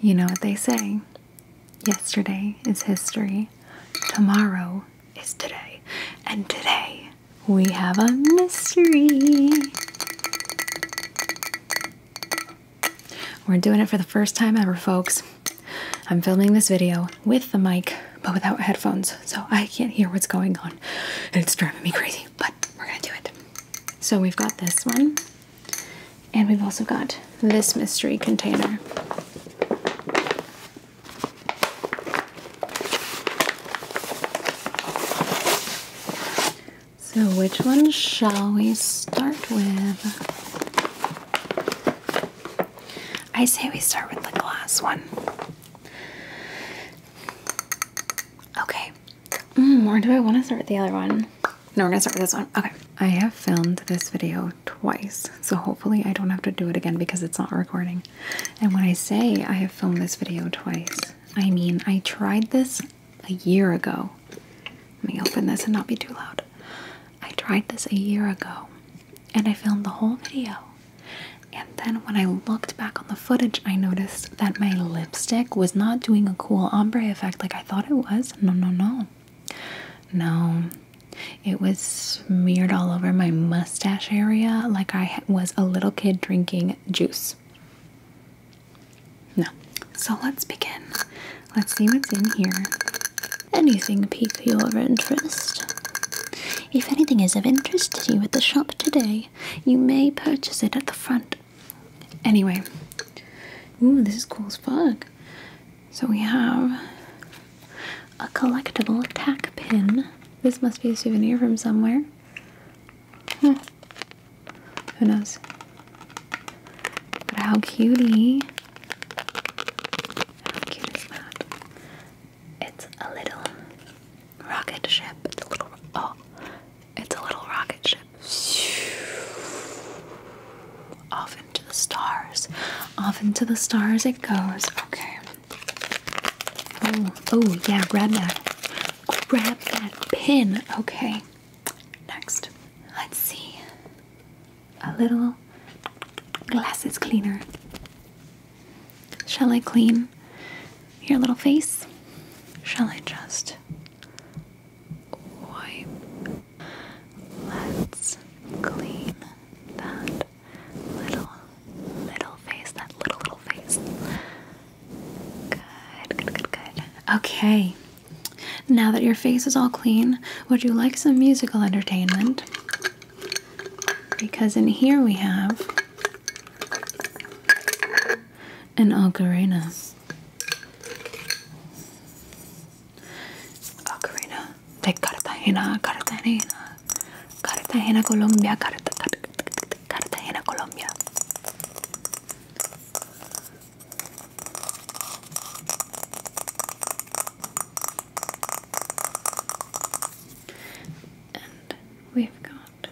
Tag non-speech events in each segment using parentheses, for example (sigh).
You know what they say yesterday is history, tomorrow is today, and today we have a mystery. We're doing it for the first time ever, folks. I'm filming this video with the mic, but without headphones, so I can't hear what's going on. It's driving me crazy, but we're gonna do it. So we've got this one. And we've also got this mystery container. So, which one shall we start with? I say we start with the glass one. Okay, Mm, or do I want to start the other one? No, we're gonna start with this one. Okay. I have filmed this video twice, so hopefully I don't have to do it again because it's not recording. And when I say I have filmed this video twice, I mean I tried this a year ago. Let me open this and not be too loud. I tried this a year ago and I filmed the whole video. And then when I looked back on the footage, I noticed that my lipstick was not doing a cool ombre effect like I thought it was. No, no, no. No. It was smeared all over my mustache area like I was a little kid drinking juice. No. So let's begin. Let's see what's in here. Anything pique your interest? If anything is of interest to you at the shop today, you may purchase it at the front Anyway, ooh, this is cool as fuck. So we have a collectible tack pin. This must be a souvenir from somewhere. Hmm. Who knows? But how cutie! How cute is that? It's a little rocket ship. It's a little. Oh, it's a little rocket ship. Off into the stars. Off into the stars it goes. Okay. Oh, oh yeah, grab that. Grab that pin. Okay. Next. Let's see. A little glasses cleaner. Shall I clean your little face? Shall I just wipe. Let's clean that little, little face, that little, little face. Good, good, good, good. Okay, now that your face is all clean, would you like some musical entertainment? Because in here we have an ocarina. Ocarina Cartagena, Cartagena, Cartagena, Colombia, Carta, Cartagena, Colombia. And we've got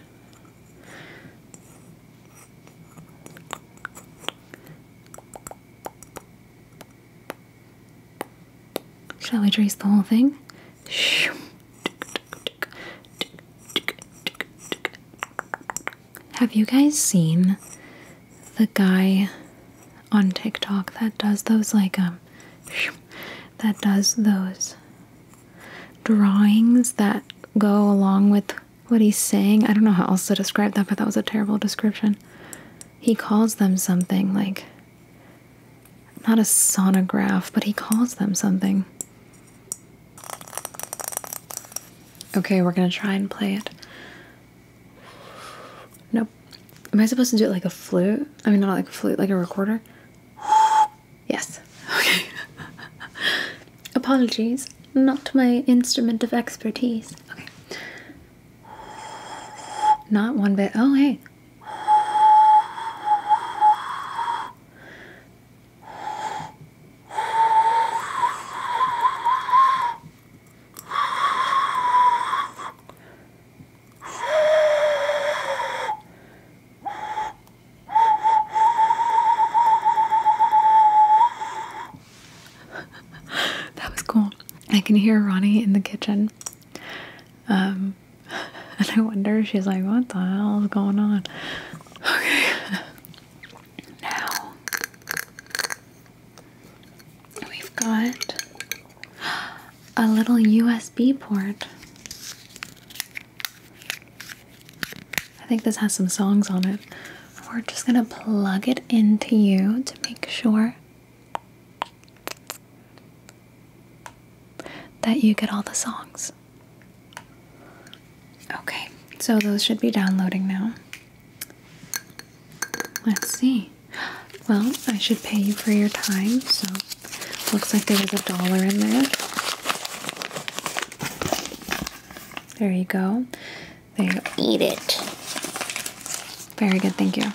Shall we trace the whole thing? Have you guys seen the guy on TikTok that does those like um that does those drawings that go along with what he's saying. I don't know how else to describe that, but that was a terrible description. He calls them something like not a sonograph, but he calls them something. Okay, we're gonna try and play it. Nope. Am I supposed to do it like a flute? I mean, not like a flute, like a recorder? Yes. (laughs) Okay. Apologies, not my instrument of expertise. Okay. Not one bit. Oh, hey that was cool. I can hear Ronnie in the kitchen. Um, (laughs) and I wonder, she's like, what the hell is going on? Okay. (laughs) Now, we've got a little USB port. I think this has some songs on it. We're just gonna plug it into you to make sure that you get all the songs. Okay, so those should be downloading now. Let's see. Well, I should pay you for your time, so looks like there was a dollar in there. There you go. There eat it. Very good, thank you.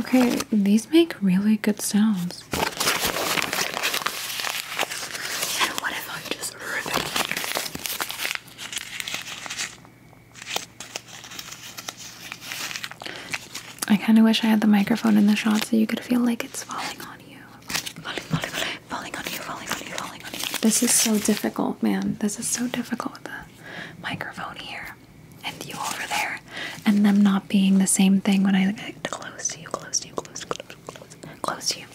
Okay, these make really good sounds. what if I just rip I kind of wish I had the microphone in the shot so you could feel like it's falling on you. Falling, falling, falling, on you, falling on falling on you. This is so difficult, man. This is so difficult with the microphone here and you over there and them not being the same thing when I get close to you, close to you, close, close, close, close to you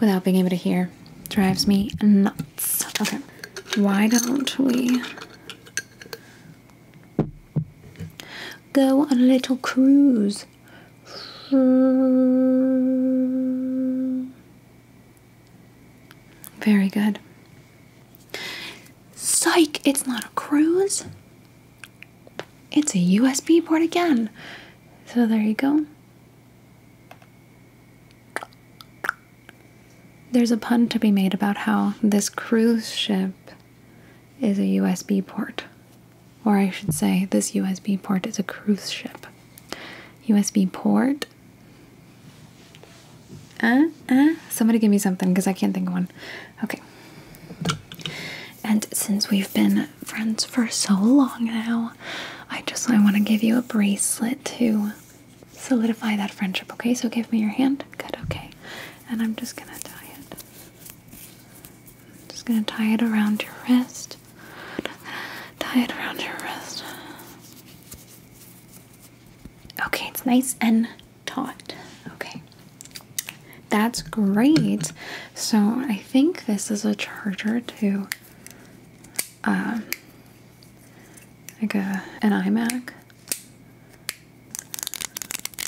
without being able to hear. Drives me nuts. Okay. Why don't we Go on a little cruise. Very good. Psych, it's not a cruise. It's a USB port again. So there you go. There's a pun to be made about how this cruise ship is a USB port. Or I should say, this USB port is a cruise ship. USB port. Uh, uh. Somebody give me something because I can't think of one. Okay. And since we've been friends for so long now, I just I want to give you a bracelet to solidify that friendship. Okay, so give me your hand. Good. Okay, and I'm just gonna tie it just gonna tie it around your wrist. Tie it around your wrist. Okay, it's nice and taut. Okay. That's great. So I think this is a charger to um like a an iMac.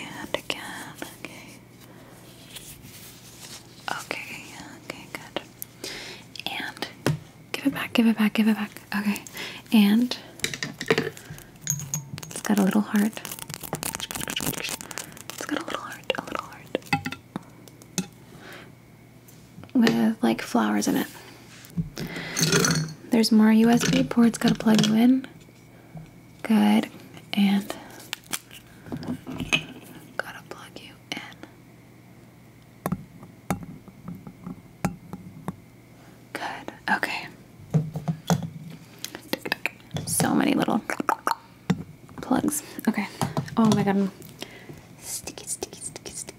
And again, okay. Okay, okay, good. And give it back, give it back, give it back. Okay. And it's got a little heart. It's got a little heart, a little heart. With like flowers in it. There's more USB ports, gotta plug you in. Good. And gotta plug you in. Good. Okay. So many little plugs. Okay. Oh my god. Sticky, sticky, sticky, sticky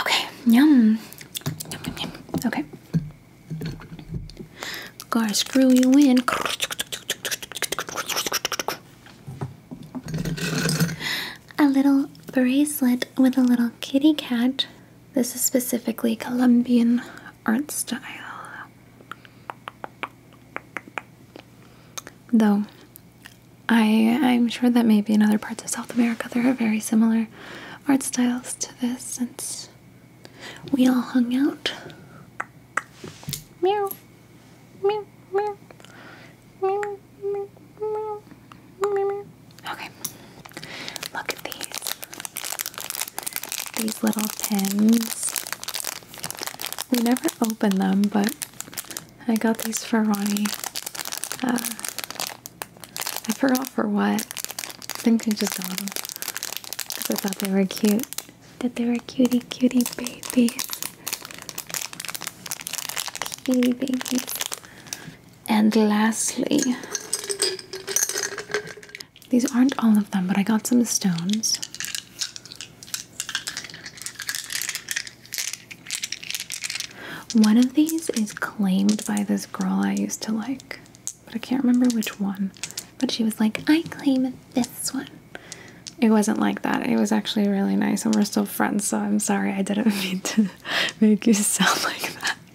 Okay, yum. Okay. Gar, screw you in. A little bracelet with a little kitty cat. This is specifically Colombian art style. Though I I'm sure that maybe in other parts of South America there are very similar art styles to this since we all hung out. Meow meow meow meow meow meow meow Okay. Look at these. These little pins. We never opened them, but I got these for Ronnie. Uh, I forgot for what. I think I just got them because I thought they were cute. That they were cutie, cutie babies. Cutie baby. And lastly, these aren't all of them, but I got some stones. One of these is claimed by this girl I used to like, but I can't remember which one. But she was like, I claim this one. It wasn't like that. It was actually really nice, and we're still friends, so I'm sorry I didn't (laughs) mean to make you sound like that. (laughs)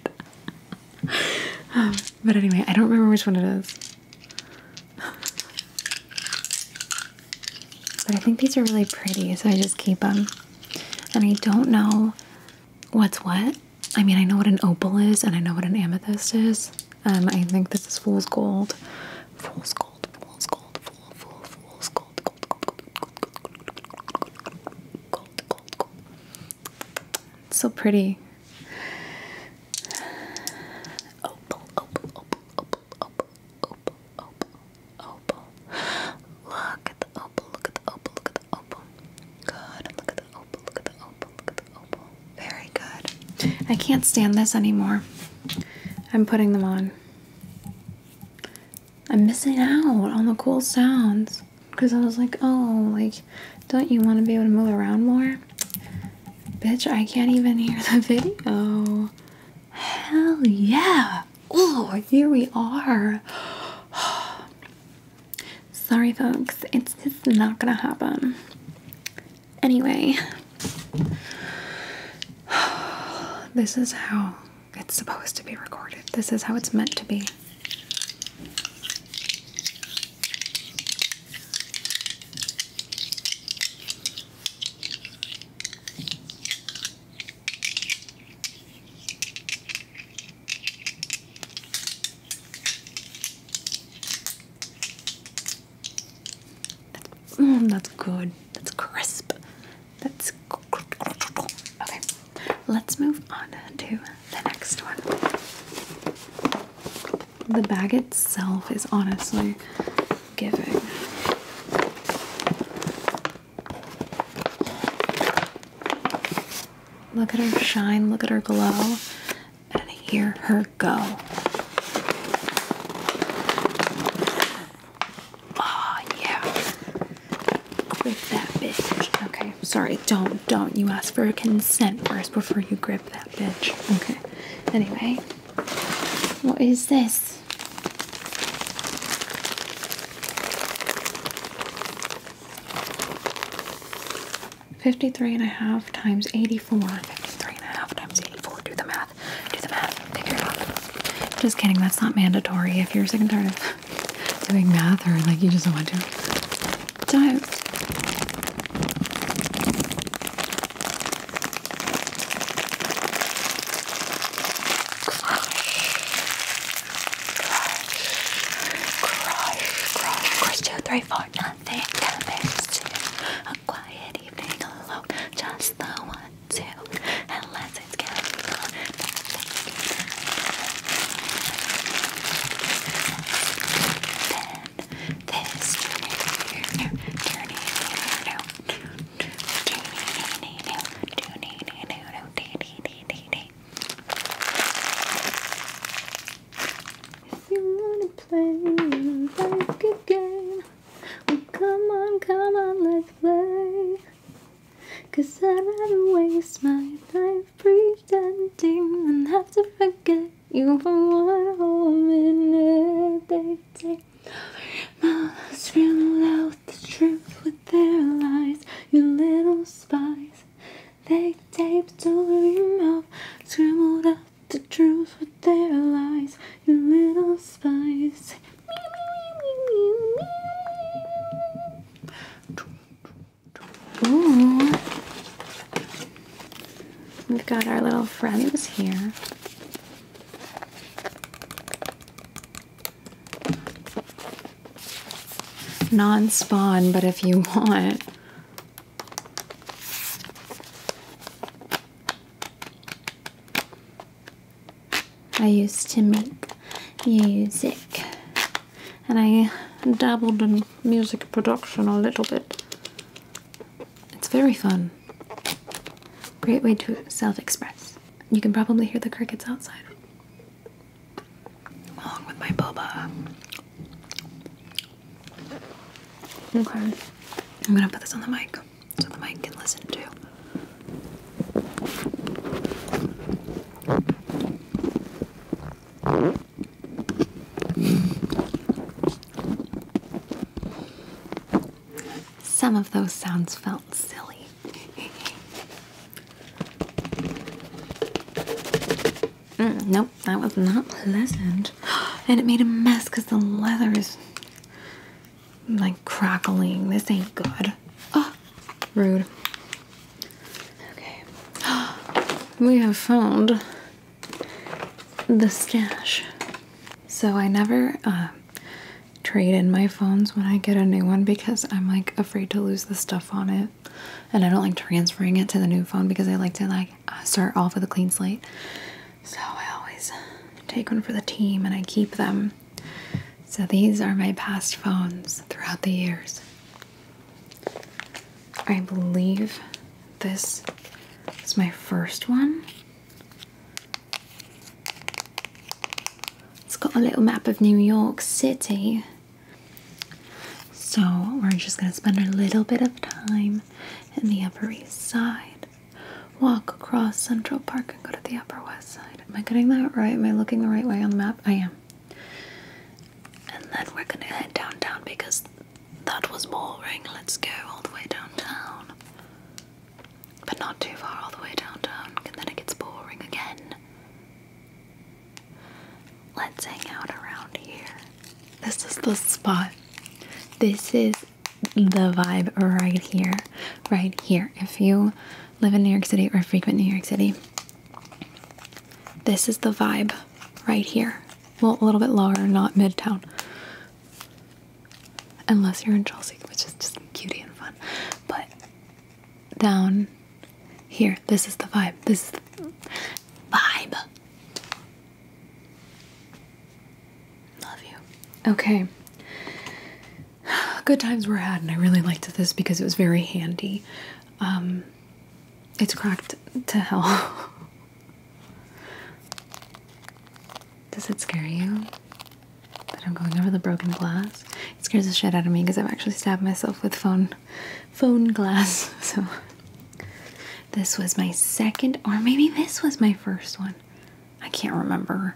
Um, but anyway, I don't remember which one it is. But I think these are really pretty, so I just keep them. And I don't know what's what. I mean, I know what an opal is and I know what an amethyst is. Um, I think this is fool's gold. Fool's gold, fool's gold, fool, fool, fool's gold, gold, gold, gold. So pretty. Opal, opal, opal, opal, opal, opal, opal, opal. Look at the opal, look at the opal, look at the opal. Good, and look at the opal, look at the opal, look at the opal. Very good. I can't stand this anymore. I'm putting them on. I'm missing out on the cool sounds because I was like, oh, like, don't you want to be able to move around more? Bitch, I can't even hear the video. Hell yeah. Oh, here we are. (sighs) Sorry, folks. It's just not gonna happen. Anyway, (sighs) this is how it's supposed to be recorded. This is how it's meant to be. Mm, that's, good. That's crisp. That's okay. Let's move on to the next one the bag itself is honestly giving. Look at her shine, look at her glow, and hear her go. Oh, yeah. Grip that bitch. Okay, sorry, don't, don't. You ask for consent first before you grip that. Okay. Anyway, what is this? Fifty-three and a half times eighty-four. Fifty-three and a half times eighty-four. Do the math. Do the math. Figure it out. Just kidding. That's not mandatory. If you're sick and tired of (laughs) doing math, or like you just don't want to, do Crush, crush, two, three, four, nothing matters A quiet evening alone, just the one, two, and let's it's getting on. Ten, this. No, if you wanna play like a game, well come on, come on, let's play. Cause I'd rather waste my life pretending than have to forget you for one whole minute. They take malice, reel out the truth with their lies. You little spies, they tape to your mouth, scribbled out the truth with their lies. You little spies. We've got our little friends here. Non spawn, but if you want. I used to make music and I dabbled in music production a little bit. It's very fun. Great way to self express. You can probably hear the crickets outside. Along with my boba. Okay. I'm gonna put this on the mic so the mic can listen to. Some of those sounds felt silly. Mm, nope, that was not pleasant. (gasps) And it made a mess because the leather is like crackling. This ain't good. Oh, (gasps) rude. Okay. (gasps) We have found the stash. So I never uh, trade in my phones when I get a new one because I'm like afraid to lose the stuff on it. And I don't like transferring it to the new phone because I like to like start off with a clean slate. So I always take one for the team and I keep them. So these are my past phones throughout the years. I believe this is my first one. It's got a little map of New York City. So we're just going to spend a little bit of time in the Upper East Side. Walk across Central Park and go to the Upper West Side. Am I getting that right? Am I looking the right way on the map? I am. And then we're going to head downtown because that was boring, let's go all the way downtown. But not too far all the way downtown, and then it gets boring again. Let's hang out around here. This is the spot. This is the vibe right here. Right here. If you live in New York City or frequent New York City, this is the vibe right here well, a little bit lower, not midtown. Unless you're in Chelsea, which is just cutie and fun. But down here, this is the vibe. This is the vibe. Love you. Okay. (sighs) Good times were had, and I really liked this because it was very handy. Um, it's cracked to hell. Does it scare you that I'm going over the broken glass? It scares the shit out of me because I've actually stabbed myself with phone, phone glass. (laughs) So this was my second, or maybe this was my first one. I can't remember.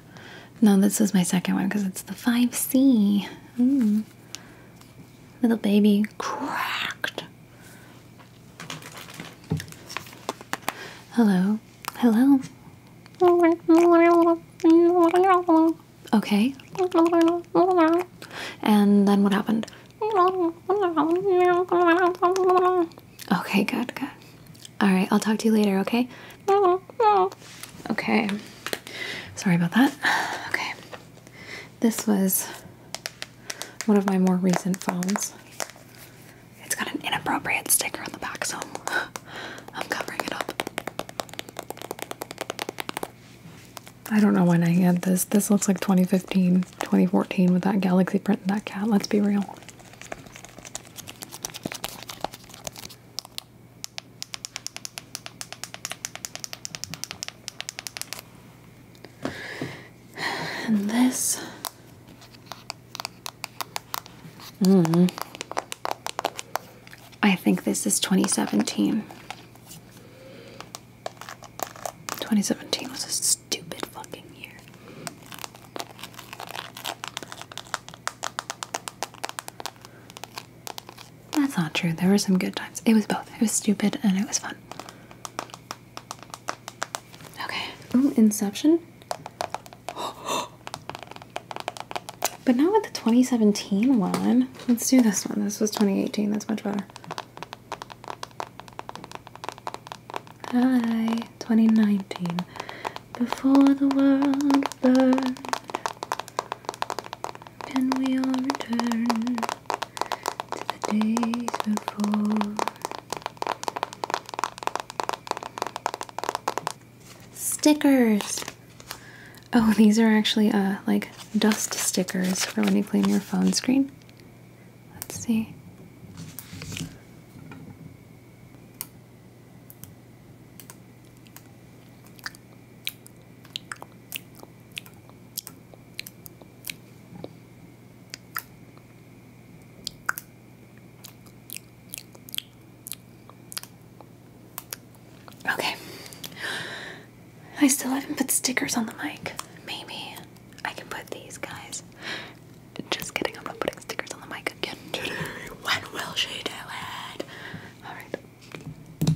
No, this was my second one because it's the 5C. Mm. Little baby cracked. Hello. Hello. Okay. And then what happened? Okay, good, good. All right, I'll talk to you later, okay? Okay. Sorry about that. Okay. This was one of my more recent phones. It's got an inappropriate sticker on the back, so (laughs) I'm covering it up. I don't know when I had this. This looks like 2015, 2014 with that galaxy print and that cat. Let's be real. And this. Mm. I think this is 2017. 2017 was a stupid fucking year. That's not true. There were some good times. It was both. It was stupid and it was fun. Okay. Inception. (gasps) But now with the 2017 one. Let's do this one. This was 2018. That's much better. Hi, 2019. Before the world burned and we all return to the days Stickers! Oh, these are actually uh, like dust stickers for when you clean your phone screen. Let's see. Okay. I still haven't put stickers on the mic. Maybe I can put these guys. Just kidding, I'm not putting stickers on the mic again When (laughs) will she do it? Alright.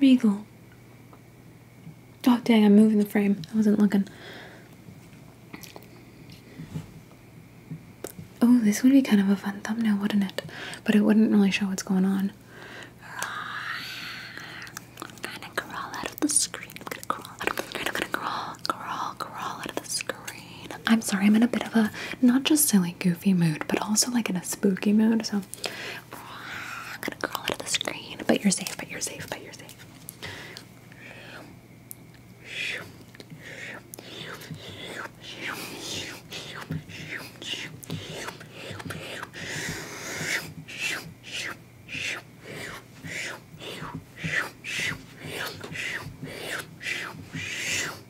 Regal. Oh, dang, I'm moving the frame. I wasn't looking. Oh, this would be kind of a fun thumbnail, wouldn't it? But it wouldn't really show what's going on. I'm gonna crawl out of the screen. I'm gonna crawl I'm gonna crawl, crawl, crawl out of the screen. I'm sorry, I'm in a bit of a not just silly, goofy mood, but also like in a spooky mood, so I'm gonna crawl out of the screen. But you're safe, but you're safe, but you're safe. (laughs)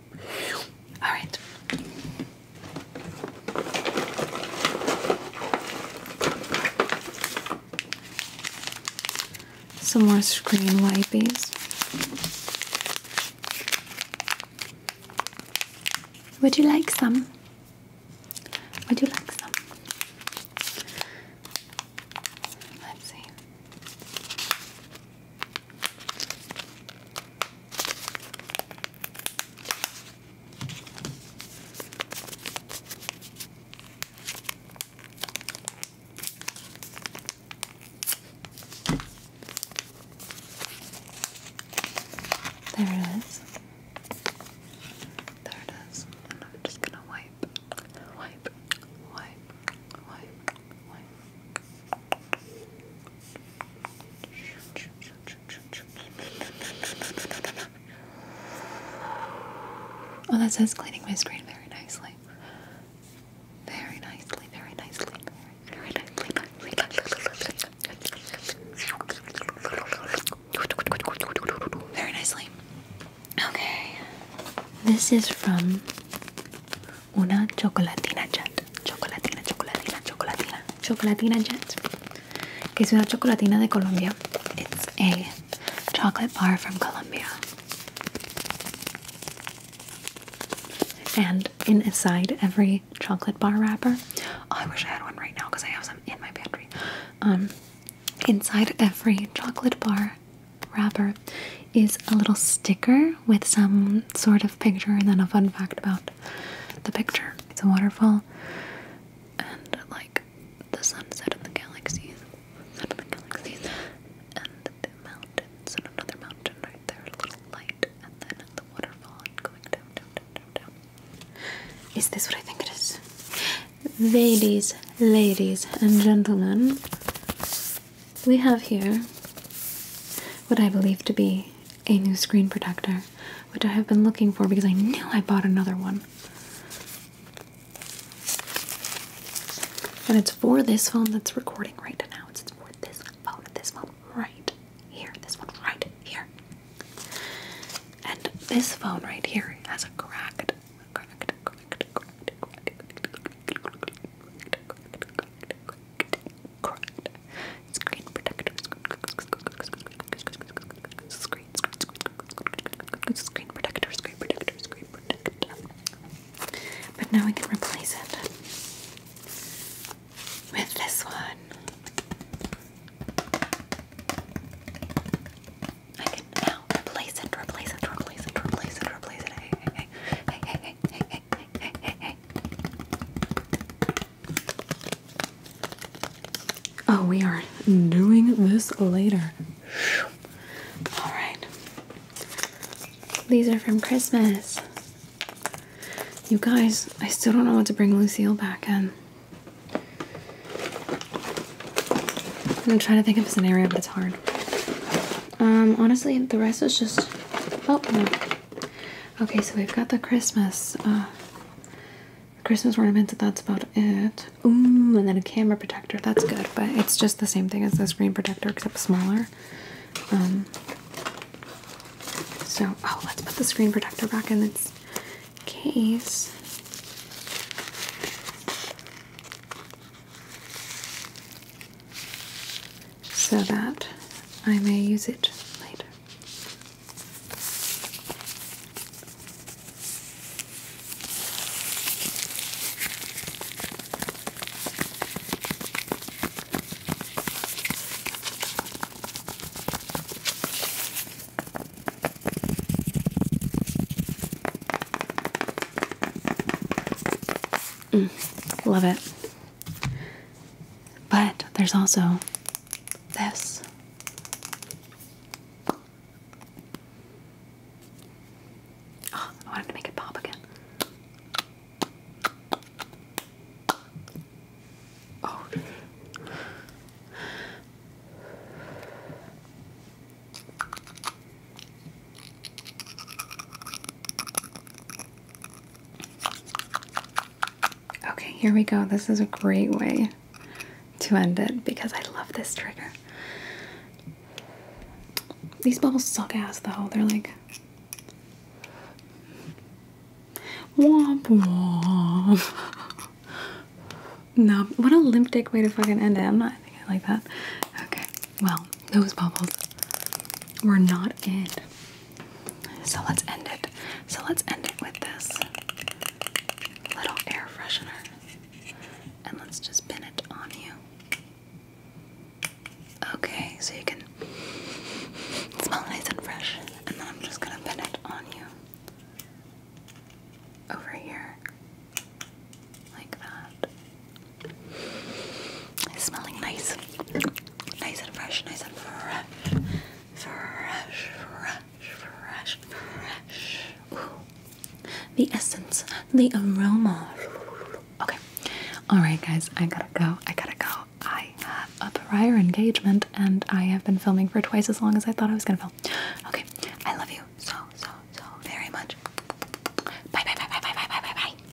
All right. Some more screen wipies. Would you like some? Would you like some? Let's see. There it is. There it is. I'm just gonna wipe, wipe, wipe, wipe, wipe. Oh, that says cleaning my screen very nicely. Very nicely, very nicely, very nicely. Very nicely. Okay. This is from una chocolatina jet, chocolatina, chocolatina, chocolatina, chocolatina jet, que es una chocolatina de Colombia. It's a chocolate bar from Colombia. And in aside every chocolate bar wrapper, oh, I wish I had one right now because I have some in my pantry. Um, inside every chocolate bar wrapper is a little sticker with some sort of picture and then a fun fact about the picture. It's a waterfall and like the sunset of the galaxies. of the galaxies. And the mountains and another mountain right there, a little light, and then the waterfall going down, down, down, down. Is this what I think it is? Ladies, ladies, and gentlemen, we have here what I believe to be a new screen protector, which I have been looking for because I knew I bought another one. And it's for this phone that's recording right now. It's for this phone, this phone right here, this one right here. And this phone right here has a crack. Correct. Screen protector. Screen, screen, screen protector. Screen protector. Screen protector. But now we can replace it with this one. I can now replace it, replace it, replace it, replace it, replace it. Hey, hey, hey, hey, hey, hey, hey, Oh, we are doing this later. All right. These are from Christmas. You guys, I still don't know what to bring Lucille back in. I'm trying to think of a scenario, but it's hard. Um, honestly, the rest is just. Oh, no. Okay, so we've got the Christmas, uh, Christmas ornaments. That's about it. Ooh, and then a camera protector. That's good, but it's just the same thing as the screen protector except smaller. Um, so, oh, let's put the screen protector back in its case so that I may use it later. Mm, love it. But there's also this. Ah, I wanted to make it pop again. Oh. Okay, here we go. This is a great way to end it because I love this trigger. These bubbles suck ass though. They're like womp womp. (laughs) no, what a limp dick way to fucking end it. I'm not thinking like that. Okay. Well, those bubbles were not in. So let's end it. So let's end it with this little air freshener. And let's just pin it on you. Okay, so you can smell nice and fresh. And then I'm just gonna pin it on you. Over here. Like that. It's smelling nice. Nice and fresh, nice and fresh. Fresh, fresh, fresh, fresh. Ooh. The essence, the aroma. Okay. Alright, guys, I gotta go. I gotta go. I have a prior engagement and I have been filming for twice as long as I thought I was gonna film. Okay, I love you so, so, so very much. Bye, bye, bye, bye, bye, bye, bye, bye, bye.